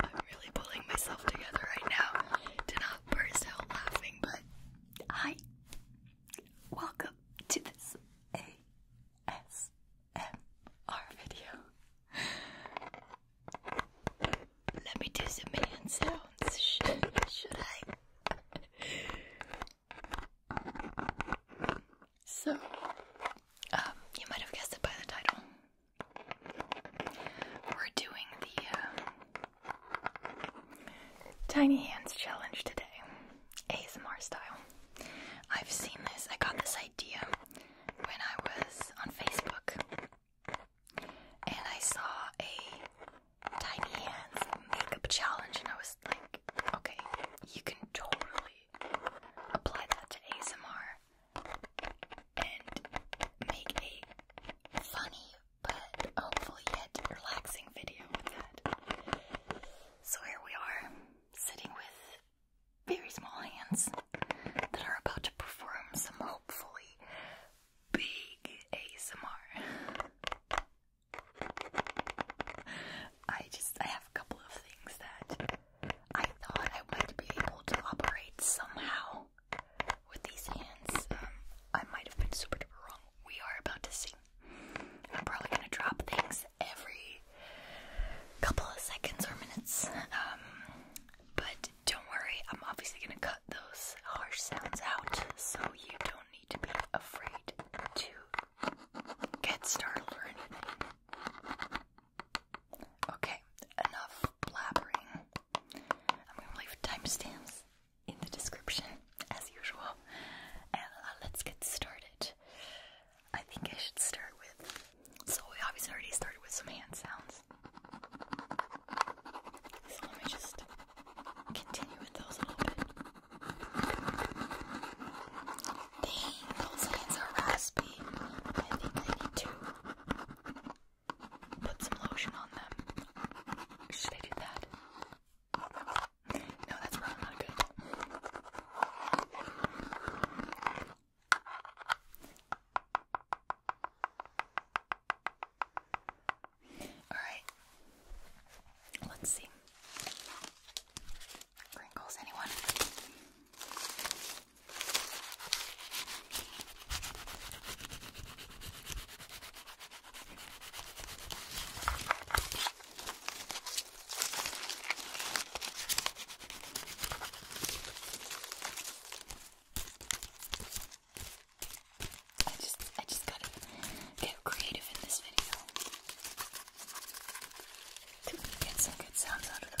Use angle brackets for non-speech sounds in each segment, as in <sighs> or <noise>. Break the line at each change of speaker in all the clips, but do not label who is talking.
I'm really pulling myself together right now to not burst out laughing, but hi. Welcome to this ASMR video. Let me do some hand sounds. should I? So, um, you might have guessed it by the title. We're doing the uh, Tiny Hands Challenge today, ASMR style. I've seen this, I got this idea when I was on Facebook and I saw a Tiny Hands makeup challenge and I was like, okay, you can totally apply that to ASMR and make a funny but hopefully yet relaxing video with that. So here we are, sitting with very small hands that are about to perform some hopefully big ASMR. I just I have a couple of things that I thought I might be able to operate somehow with these hands. Um, I might have been super duper wrong. We are about to see. I'm probably gonna drop things every couple of seconds or minutes. Um, but don't worry, I'm obviously gonna cut those harsh sounds out so you don't need to be afraid to get startled or anything. Okay, enough blabbering. I'm gonna leave timestamps in the description, as usual, uh, let's get started. I think I should start with. So, we obviously already started with some hand sounds. let me just continue with those a little bit. Dang, those hands are raspy. I think I need to put some lotion on them. Should I do that? No, that's probably not good. Alright. Let's see. Wrinkles, anyone? I just, I just gotta get creative in this video. To get some good sounds out of those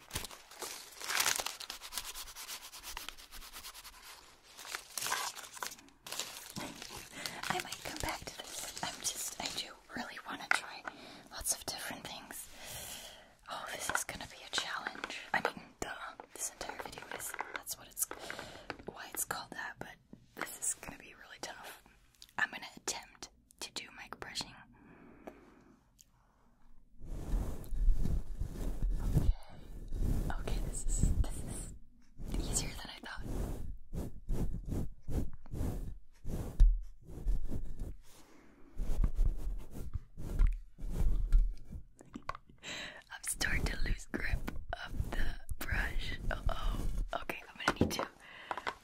I might come back to this. I'm just, I do really want to try lots of different things. Oh, this is gonna be a challenge. I mean, duh. This entire video is, that's what it's, why it's called that, but this is gonna be really tough. I'm gonna attempt to do mic brushing Okay. Okay, this is this is easier than I thought. <laughs> I'm starting to lose grip of the brush. oh. Okay, I'm gonna need to.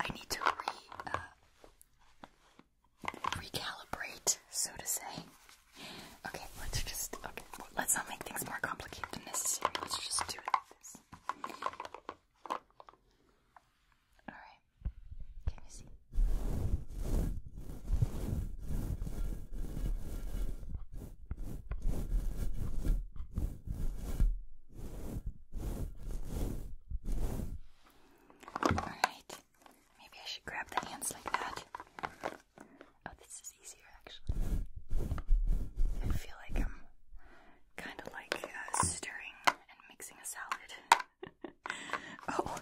I need to re. Uh, recalibrate, so to say. Okay, let's just, okay, let's not make things more complicated than necessary. Let's just do this. Alright, can you see? Alright. Maybe I should grab the hands like that. Oh, this is easier actually. I feel like I'm kind of like uh, stirring and mixing a salad. <laughs> oh,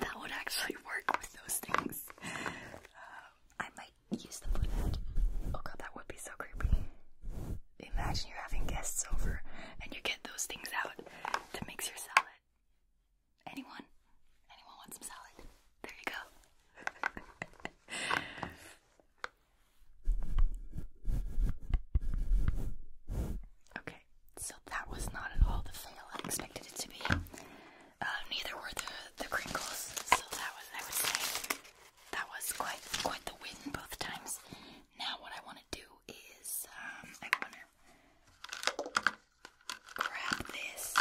that would actually work with those things. Uh, I might use the foot Oh god, that would be so creepy imagine you're having guests over and you get those things out to mix your salad. Anyone? Anyone want some salad? There you go. <laughs> okay, so that was not at all the fail I expected it to be. Uh, neither were the the crinkles, so that was I would say that was quite quite the win both times. Now what I want to do is um, I want to grab this.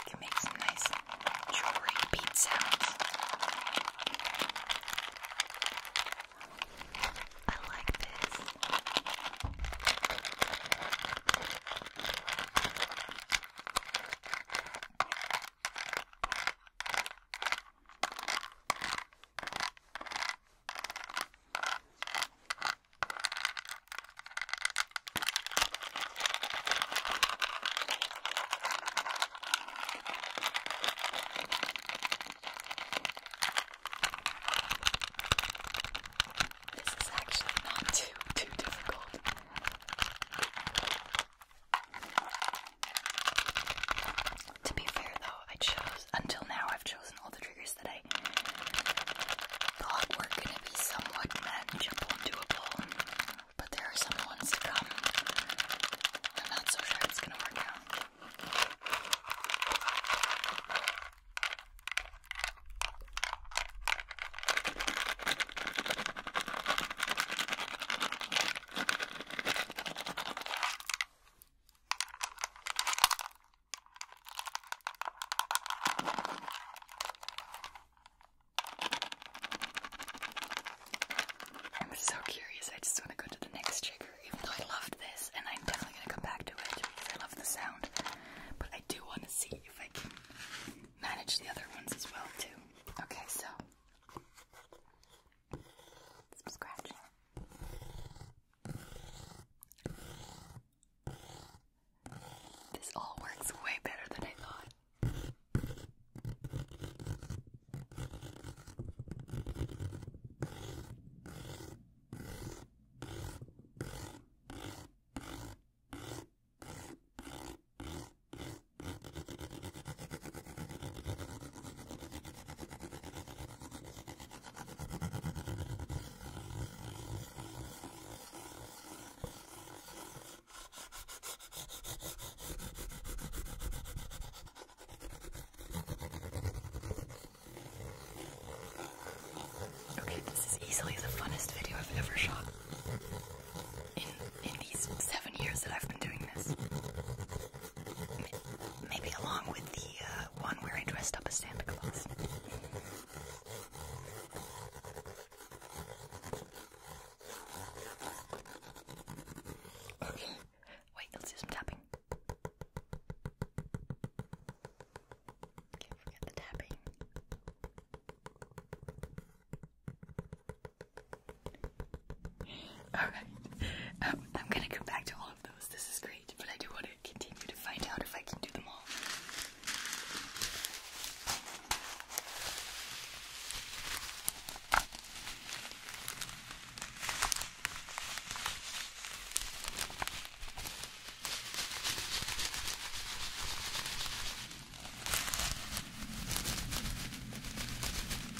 Okay, let some nice jewelry beat sounds. I like this. This is actually not too too difficult. To be fair though, I chose until now I've chosen all the triggers that I thought were gonna be somewhat manageable and doable. But there are some ones to come. I'm not so sure it's gonna work out. I'm so curious. I just want to go to the next trigger, even though I loved this, and I'm definitely going to come back to it because I love the sound. But I do want to see if I can manage the other ones as well too. Okay, so scratching. This all works way better than I thought. Okay, this is easily the funnest video I've ever shot in, in these seven years that I've been doing this. maybe along with the uh, one where I dressed up as Santa Claus. Okay. Wait, let's do some tapping. Okay, forget the tapping. Alright, um, I'm gonna go back to all of those. This is great, but I do want to continue to find out if I can do them all.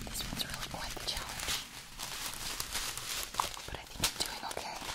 This one's really quite the challenge. But I think I'm doing okay.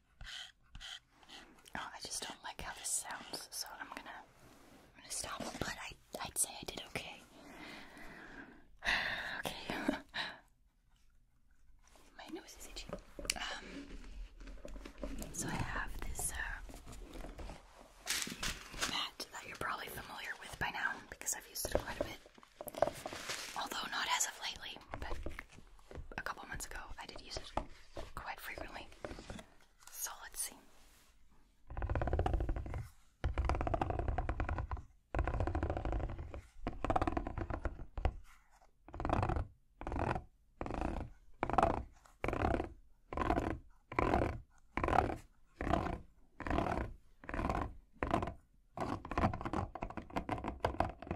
Oh, I just don't like how this sounds, so I'm gonna, I'm gonna stop. But I, I'd say I did okay. <sighs> okay. <laughs> My nose is itchy. Um. So I have this uh, mat that you're probably familiar with by now because I've used it quite a bit, although not as of lately a couple months ago. I did use it quite frequently. So let's see.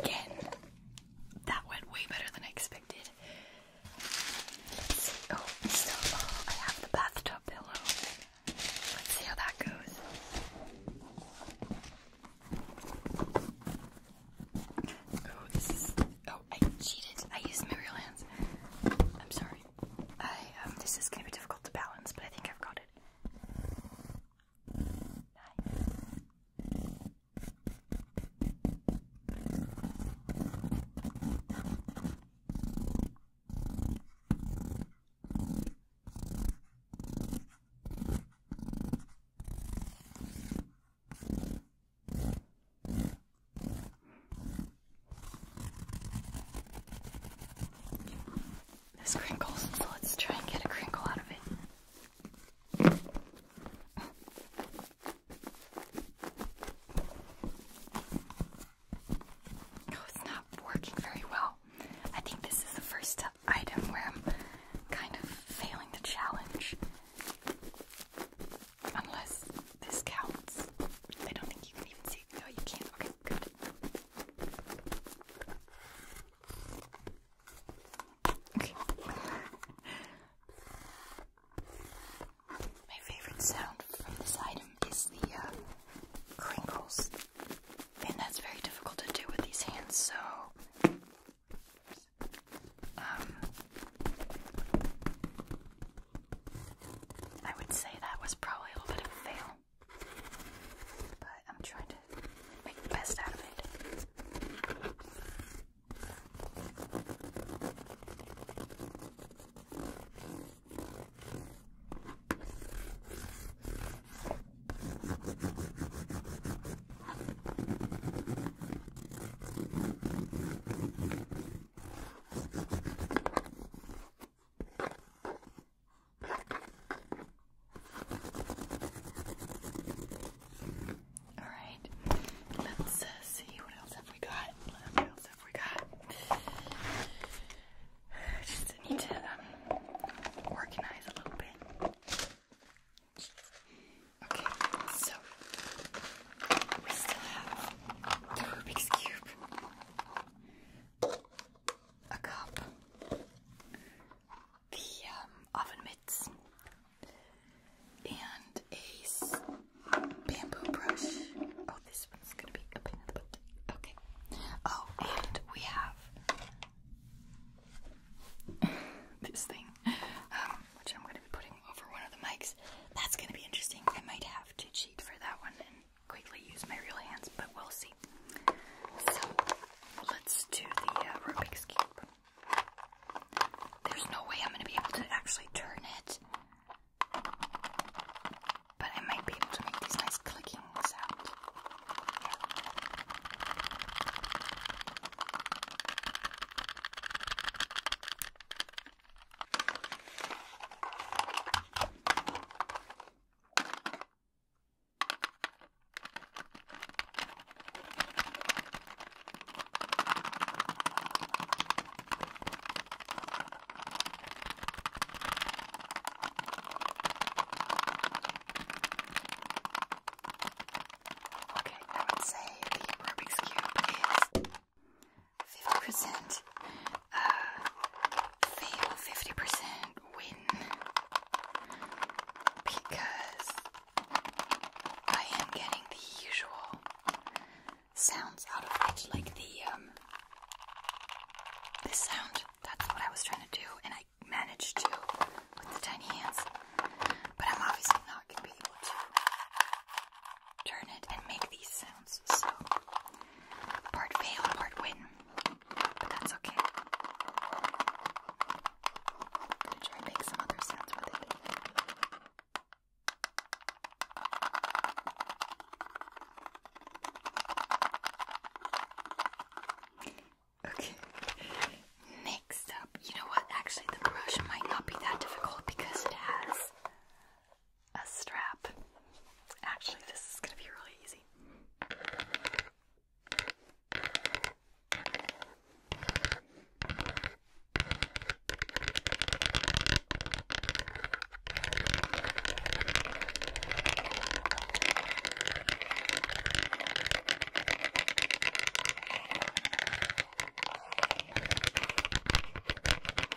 Again, that went way better than I expected. Let's see. Oh, so oh, I have the bathtub pillow. Let's see how that goes. Oh, this is. Oh, I cheated. I used my real hands. I'm sorry. Um, this is going to be difficult to balance, but I think I've got it. This crinkles, so let's try and get a crinkle out of it. Oh, it's not working very well. I think this is the first item where I'm kind of failing the challenge. Unless this counts. I don't think you can even see. No, you can't. Okay. My favorite sound from this item is the uh, crinkles, and that's very difficult to do with these hands, so. Um, I would say that was probably a little bit of a fail. But I'm trying to make the best out of it. All right, let's uh, see what else have we got. What else have we got? <sighs> Just need to um, organize a little bit. Okay, so we still have the Rubik's Cube a cup, the um, oven mitts, and a bamboo brush. Oh, this one's gonna be a pain in Okay. Oh, and we have <laughs> this thing, um, which I'm gonna be putting over one of the mics. That's gonna be interesting. I might have to cheat for that one quickly use my real hands, but we'll see. So let's do the uh, Rubik's There's no way I'm going to be able to actually turn it, but I might be able to make these nice clicking sound. Okay, I would say the Rubik's Cube is 50% uh, 50% win. Because I am getting the usual sounds out of it, like the um, this sound. That's what I was trying to do, and I managed to with the tiny hands. But I'm obviously not gonna be able to turn it and make these sounds. So, part fail, part win. But that's okay. I'm gonna try and make some other sounds Okay. Next up, you know what? Actually, the brush might not be that difficult because it has a strap. Actually, this is going to be really easy.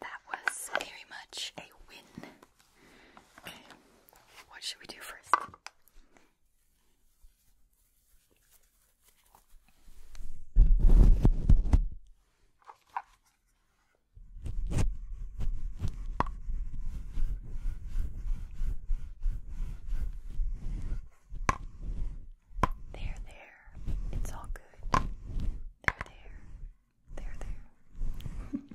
That was very much a win. What should we do first? There, there. It's all good. They're there. They're there.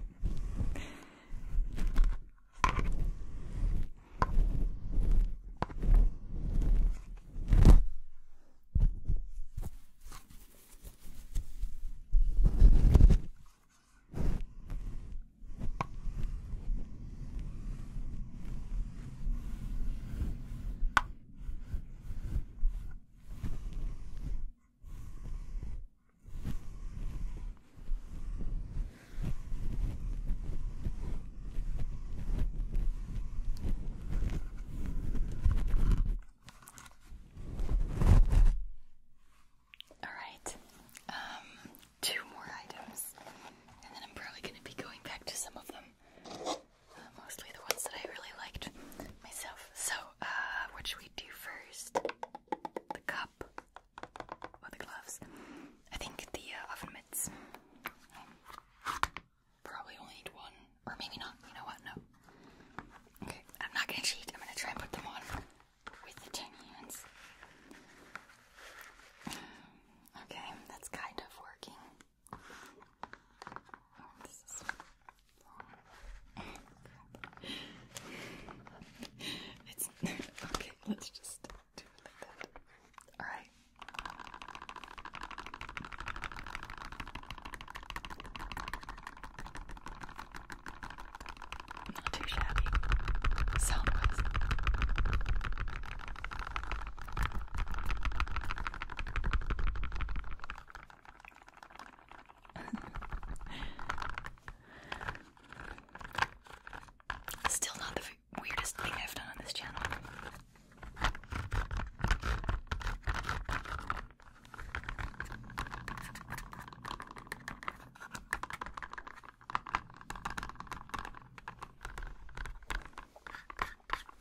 All right, um, two more items, and then I'm probably going to be going back to some of them mostly the ones that I really liked myself. So, uh, what should we do first? The cup or the gloves? I think the uh, oven mitts. probably only need one, or maybe not. You know what? No. Okay, I'm not gonna cheat. I'm gonna try and put them on with the ten hands. Okay, that's kind of working. Oh, this is long It's <laughs> okay, let's just do it like that. Alright. Not too shabby. Sound wise. Still not the weirdest thing I've done on this channel.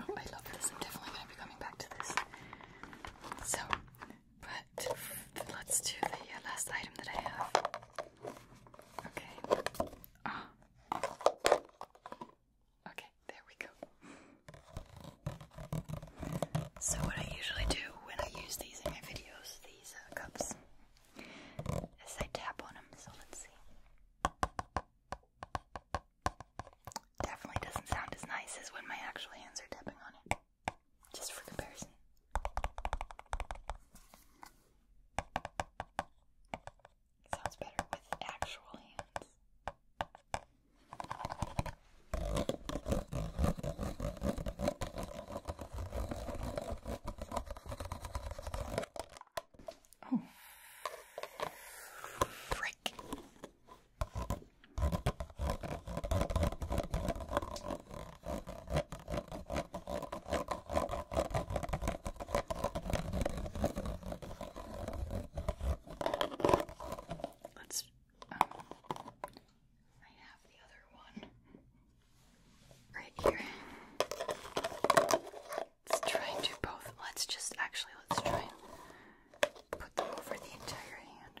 Oh, I love this. I'm definitely going to be coming back to this. So, but let's do the uh, last item that I have. Okay. Oh. Okay, there we go. So, what I usually do when I use these in my videos, these uh, cups, is I tap on them. So, let's see. Definitely doesn't sound as nice as when my actual hands are tapping on it. Just for comparison. sounds better with actual hands. Oh. Frick. Let's um, I have the other one right here. Let's try and do both. Let's just actually let's try and put them over the entire hand.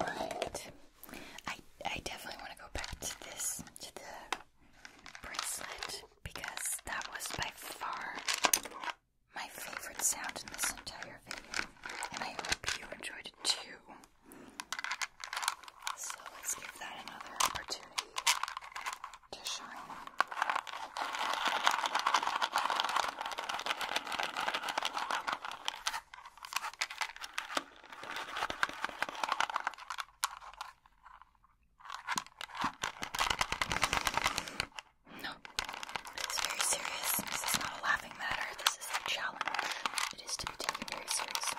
Right. I I definitely want to go back to this to the bracelet because that was by far my favorite sound in this entire video, and I hope you enjoyed it too. So let's give that another opportunity to shine. No, it's very serious. This is not a laughing matter. This is a challenge. It is to be taken very seriously.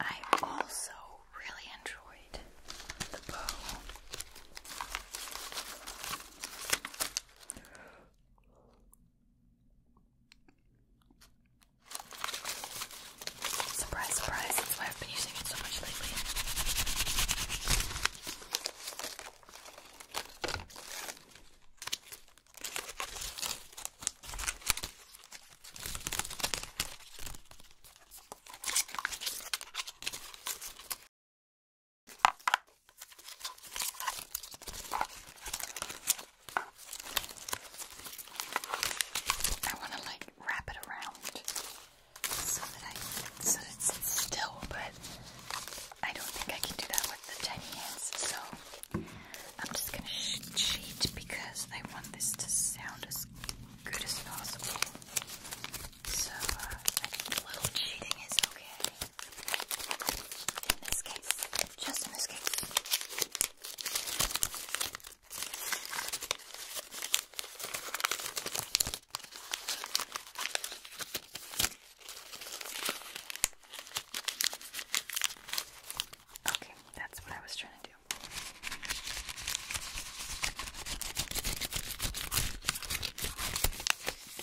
I also really enjoyed the bow. Surprise, surprise, that's why I've been using it so much lately. I want to like wrap it around so that I so that it's still, but I don't think I can do that with the tiny hands. So I'm just gonna cheat because I want this to sound as good as possible. So, uh, a little cheating is okay. In this case, just in this case. Okay, that's what I was trying to do.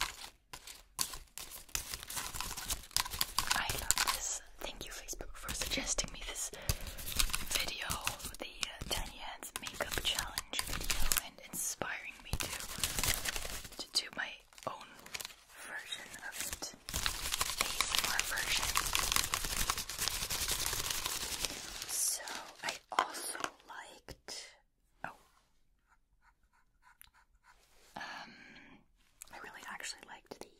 I love this. Thank you, Facebook, for suggesting me this video, the uh, Tiny Hands Makeup Challenge video, and inspiring me to to do my own version of it, ASMR version. So I also liked Oh. Um, I really actually liked these.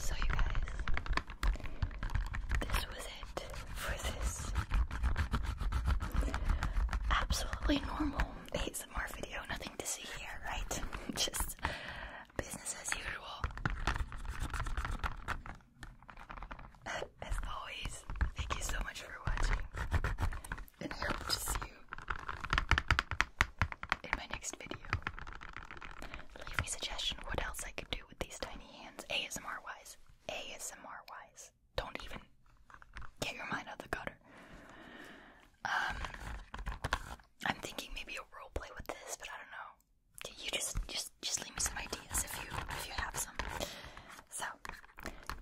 So, you guys, this was for this absolutely normal ASMR video. Nothing to see here, right? <laughs> Just business as usual. <laughs> As always, thank you so much for watching, and I hope to see you in my next video. Leave me a suggestion what else I could do with these tiny hands ASMR wise. ASMR wise don't even get your mind out the gutter. Um, I'm thinking maybe a role with this, but I don't know. You just, just, just leave me some ideas if you, if you have some. So,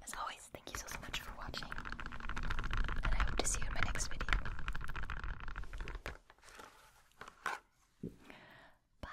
as always, thank you so so much for watching, and I hope to see you in my next video. Bye.